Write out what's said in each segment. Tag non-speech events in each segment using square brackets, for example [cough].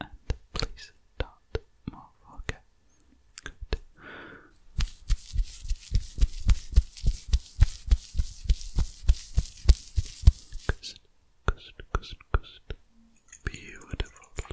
And please don't move, okay? Beautiful.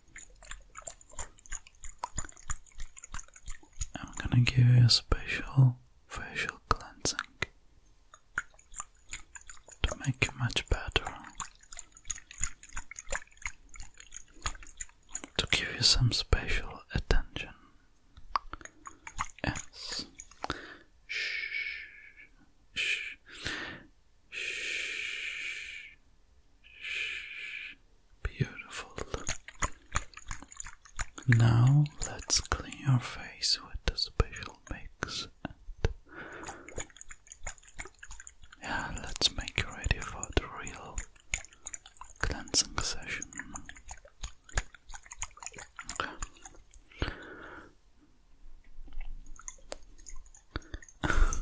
I'm gonna give you a special facial cleansing to make you much better, to give you some special attention. Yes. Shh. Shh. Shh. Shh. Beautiful. Now let's clean your face with the special mix. And yeah, let's make you ready for the real cleansing session. Close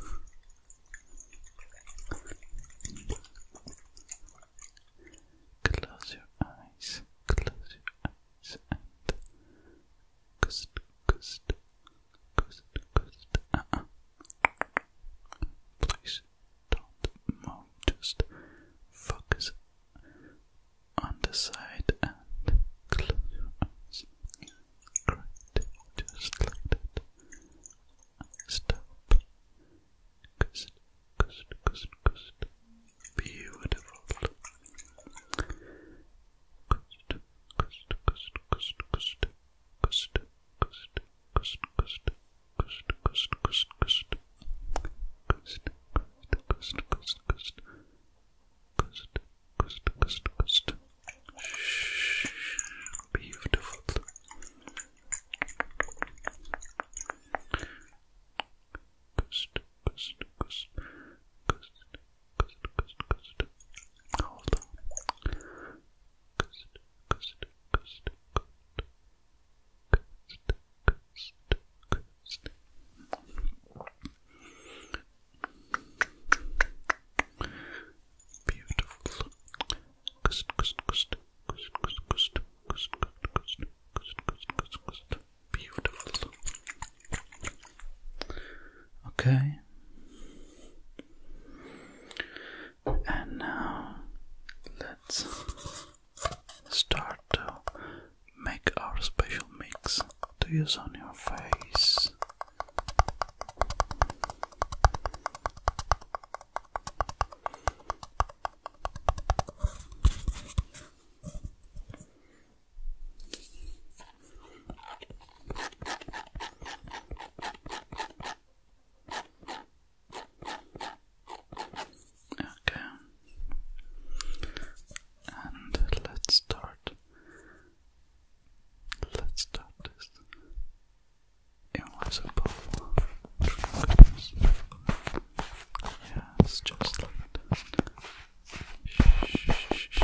your eyes, close your eyes, and coast, coast, coast, coast. Uh -uh. Please don't move, just focus on the side and close your eyes just like that. Stop. Beautiful. Coast, coast, coast. Shh. Beautiful. Coast, coast, coast. Coast, coast, coast, coast. Hold on. Coast, coast, coast, coast. Coast, coast, coast. Beautiful. Kust, kust, kust, kust, kust, kust, kust, kust, kust, kust, kust, kust. Beautiful. Okay. And now let's start to make our special mix to use on your face. Okay. And let's start Let's start this. It was a bowl Yes, just like that. Shh, shh, shh.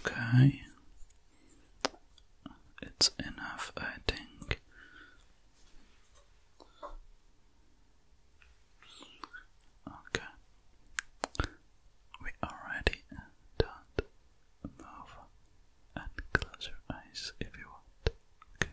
Okay. It's enough, I think. Okay. We already don't move and close your eyes if you want. Okay.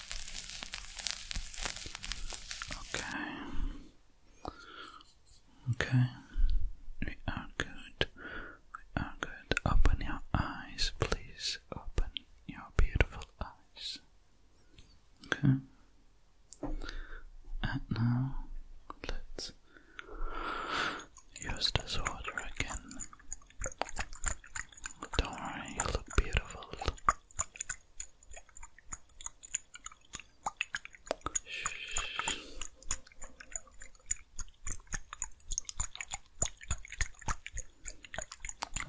Okay. Okay. We are good. We are good. Open your eyes, please. Open your beautiful eyes. Okay. And now let's use this water again. Don't worry, you look beautiful.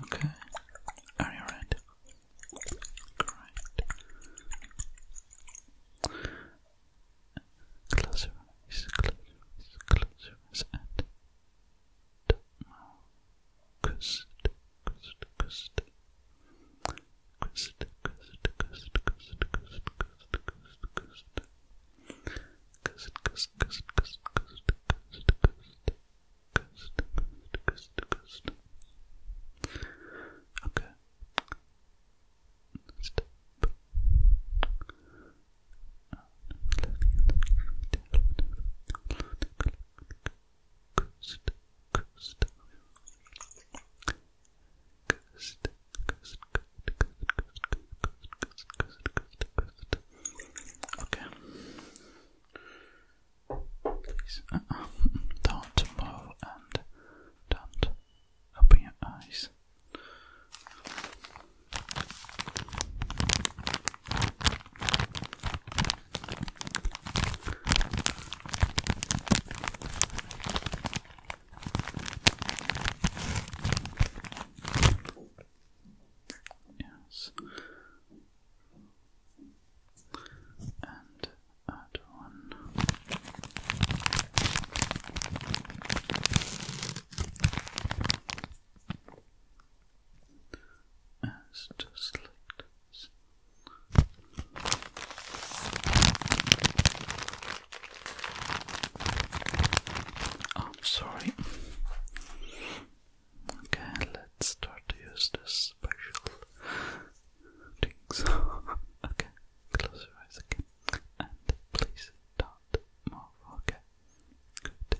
Okay. Are you right? Great. Close your eyes, close your eyes, close your eyes, and Coast, coast, coast. Coast, coast, coast, coast, coast, coast, coast, coast. Coast, coast, coast, coast, coast, coast, coast. Coast, coast, coast, Okay. Step coast, coast, Okay. Please don't move and don't open your eyes. Yes. And add one. As just like this. Oh, I'm sorry. Okay, let's start to use this special things. [laughs] okay, close your eyes again. And please don't move. good.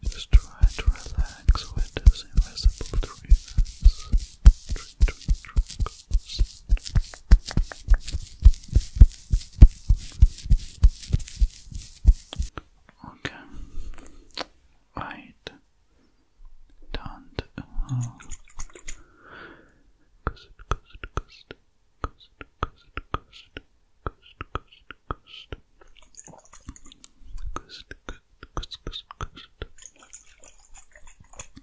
Just try to relax where it is invisible to you. Drink, drink, drink. Okay. Right. Don't. Oh. Cost, cost, cost, cost, cost, cost, cost, cost, cost. Cost, cost, cost, cost, cost.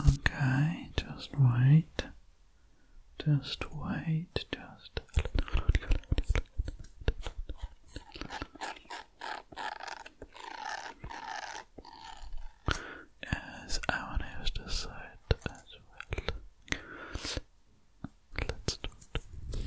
Okay, just wait. Just wait, just Yes, I want to use as well. Let's do it.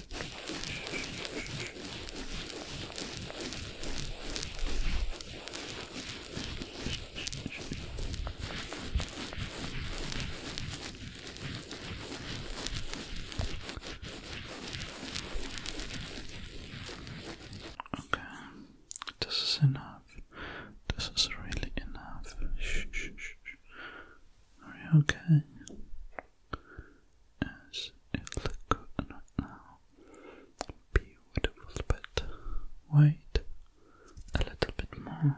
Okay, this is enough. This is really enough. okay? as it look right now. Beautiful, but wait a little bit more.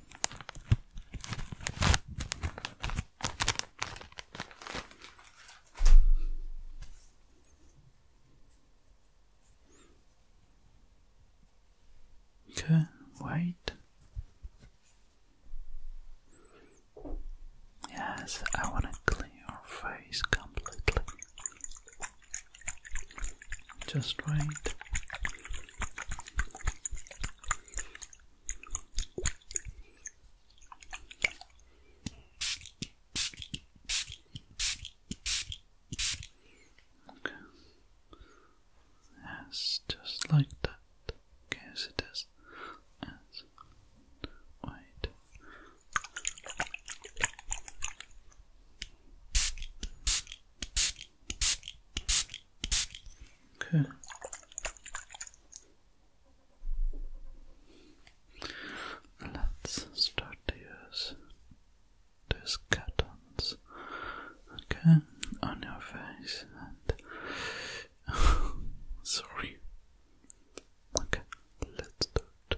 Okay, wait. Yes, I want to clean your face completely. Just wait. Okay. Yes, just like that. Yes, it is. Yes. Wait. Okay. Let's start to use these cuttons. Okay, on your face and [laughs] sorry. Okay, let's do it.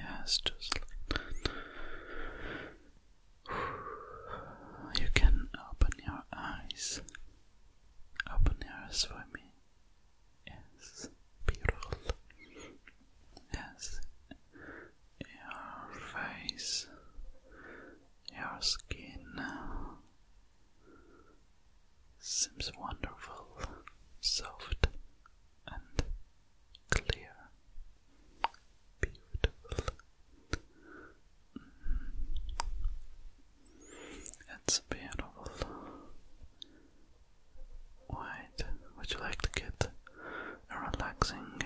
Yes, just like that. You can open your eyes. Open your eyes for me. Yes, beautiful. Yes, your face, your skin seems wonderful, soft, and clear, beautiful. Mm. It's beautiful. White, would you like to get a relaxing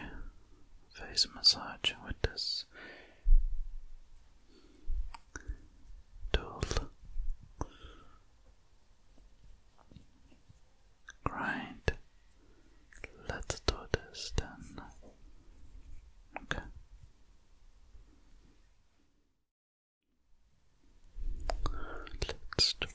face massage with this? tool. Right, let's do this then. Okay. Let's do it.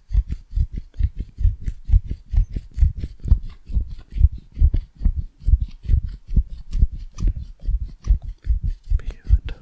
Beautiful, it's beautiful.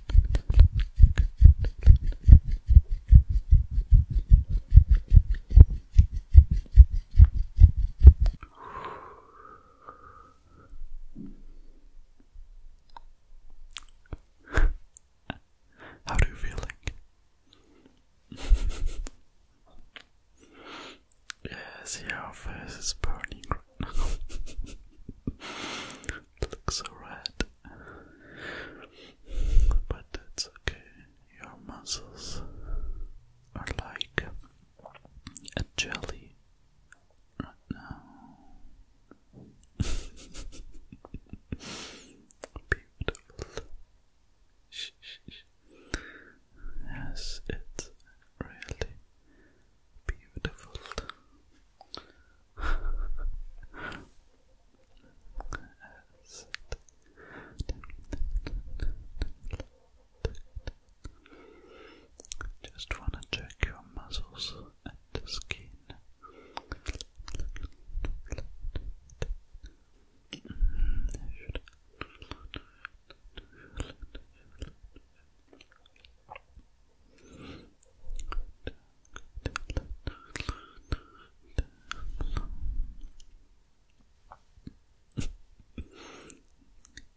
How do you feel like? [laughs] yes, your face is burning it [laughs] looks alright. But that's okay. Your muscles are like a jelly right now. [laughs] Beautiful. Yes, it's really beautiful. Just want to check your muscles and skin. Mm,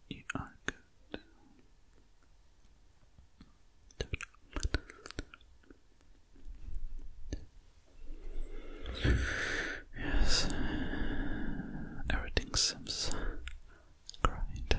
you are good. Yes, everything seems great. do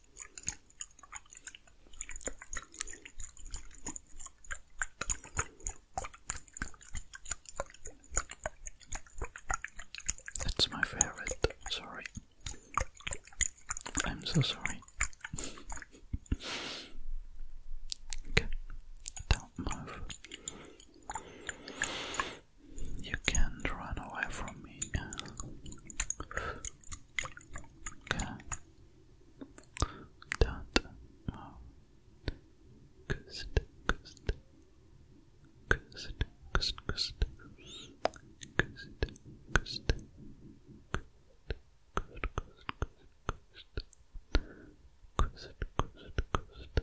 That's my favorite. Sorry. I'm so sorry. [laughs] okay, don't move. You can't run away from me. Okay. Don't move. Gust, gust, gust, gust, gust, gust, gust, gust, gust, gust, gust,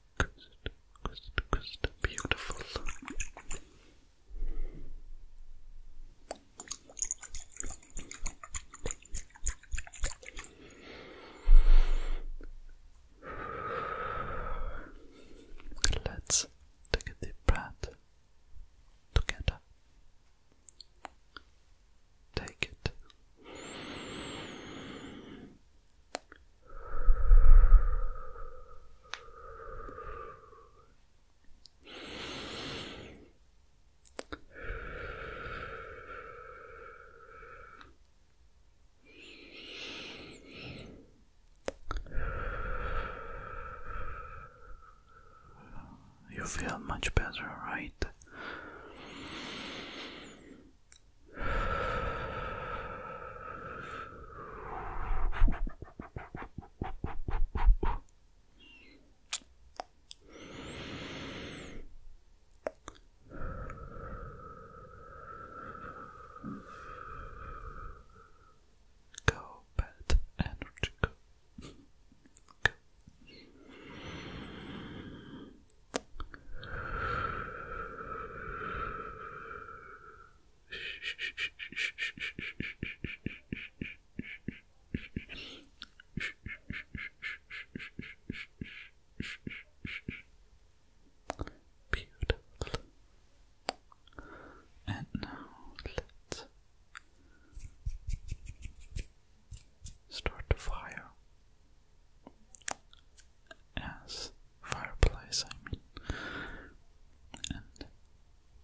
Coast, coast, Beautiful. Let's take a deep breath together. Take it. You feel much better, right? Go bad energy Beautiful. And now let's start the fire as fireplace, I mean, and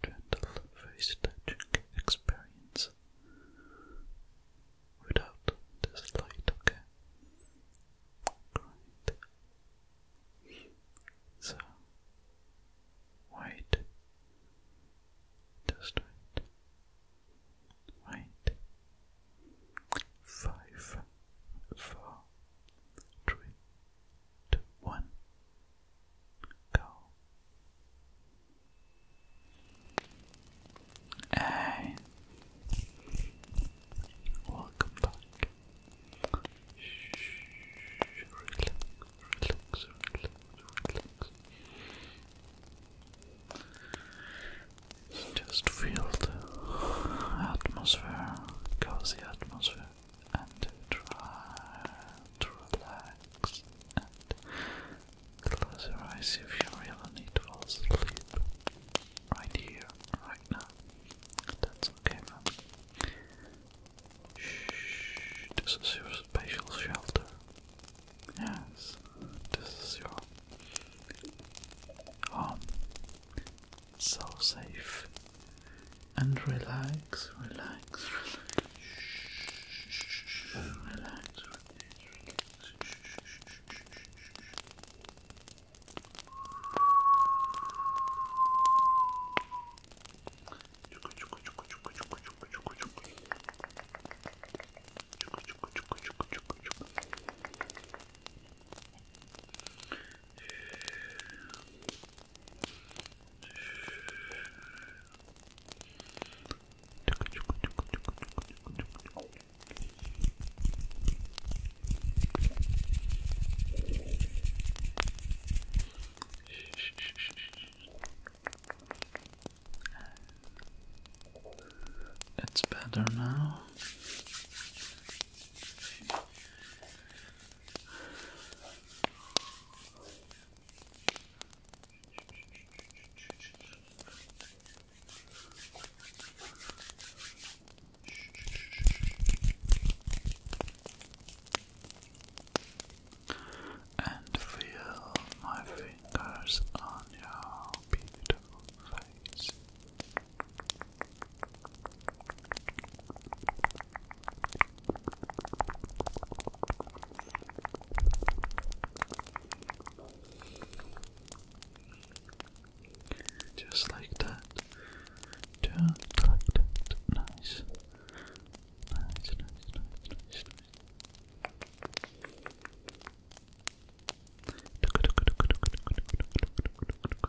gentle face touching experience without this light, okay? Great. So, wait, just wait, wait, five four, three, two, one, go. And welcome back. Just feel the atmosphere cozy atmosphere and try to relax close your eyes if you really need to fall asleep. Right here, right now. That's okay, man. Shh, this is your special shelter. Yes, this is your home so safe and relax, relax, relax. Relax, relax, it's better now. And feel my fingers on your beautiful face. Just like that. Just like Nice, nice, nice, nice, nice.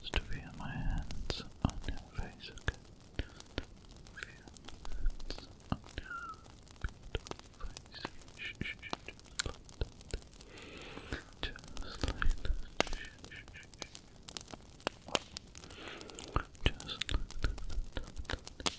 Just feel my hands on your face, okay? hands on your face. just like Just like like that.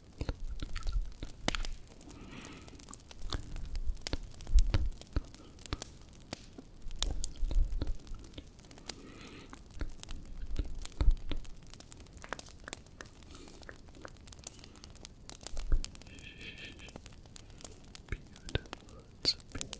Beautiful. It's beautiful.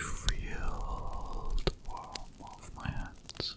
Feel the warmth of my hands.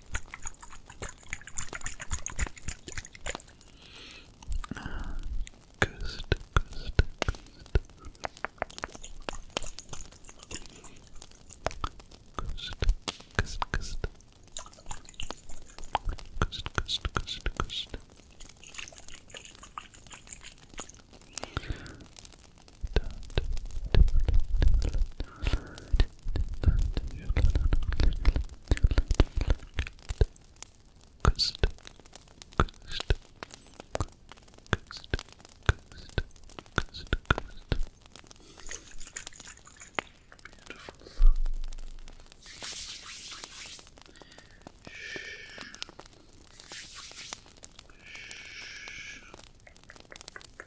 Ghost, ghost, ghost. Ghost, ghost, ghost. Ghost, ghost, ghost, Dot, dot, dot, dot, dot, dot, Coast, coast, coast, coast, coast, coast. Beautiful. Shh. Shh.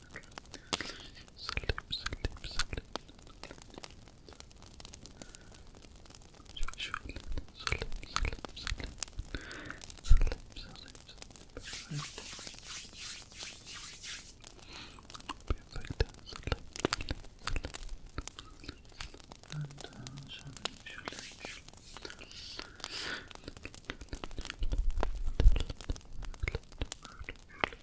Sleep, sleep, sleep. Sleep, sleep, sleep, sleep. Sleep, sleep, sleep. Perfect. Sleep, sleep, sleep. And uh, shall we, shall we, shall we. Sleep, sleep, sleep.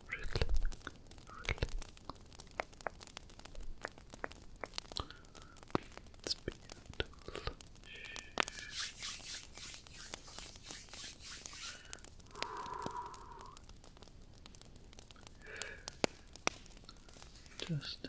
Relax. It's beautiful. Just enough. Relax.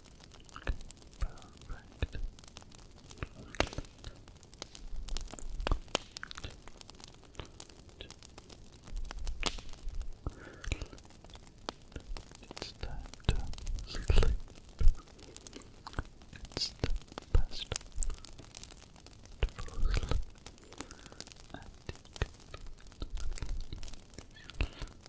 perfect. It's time to sleep. It's the best to sleep.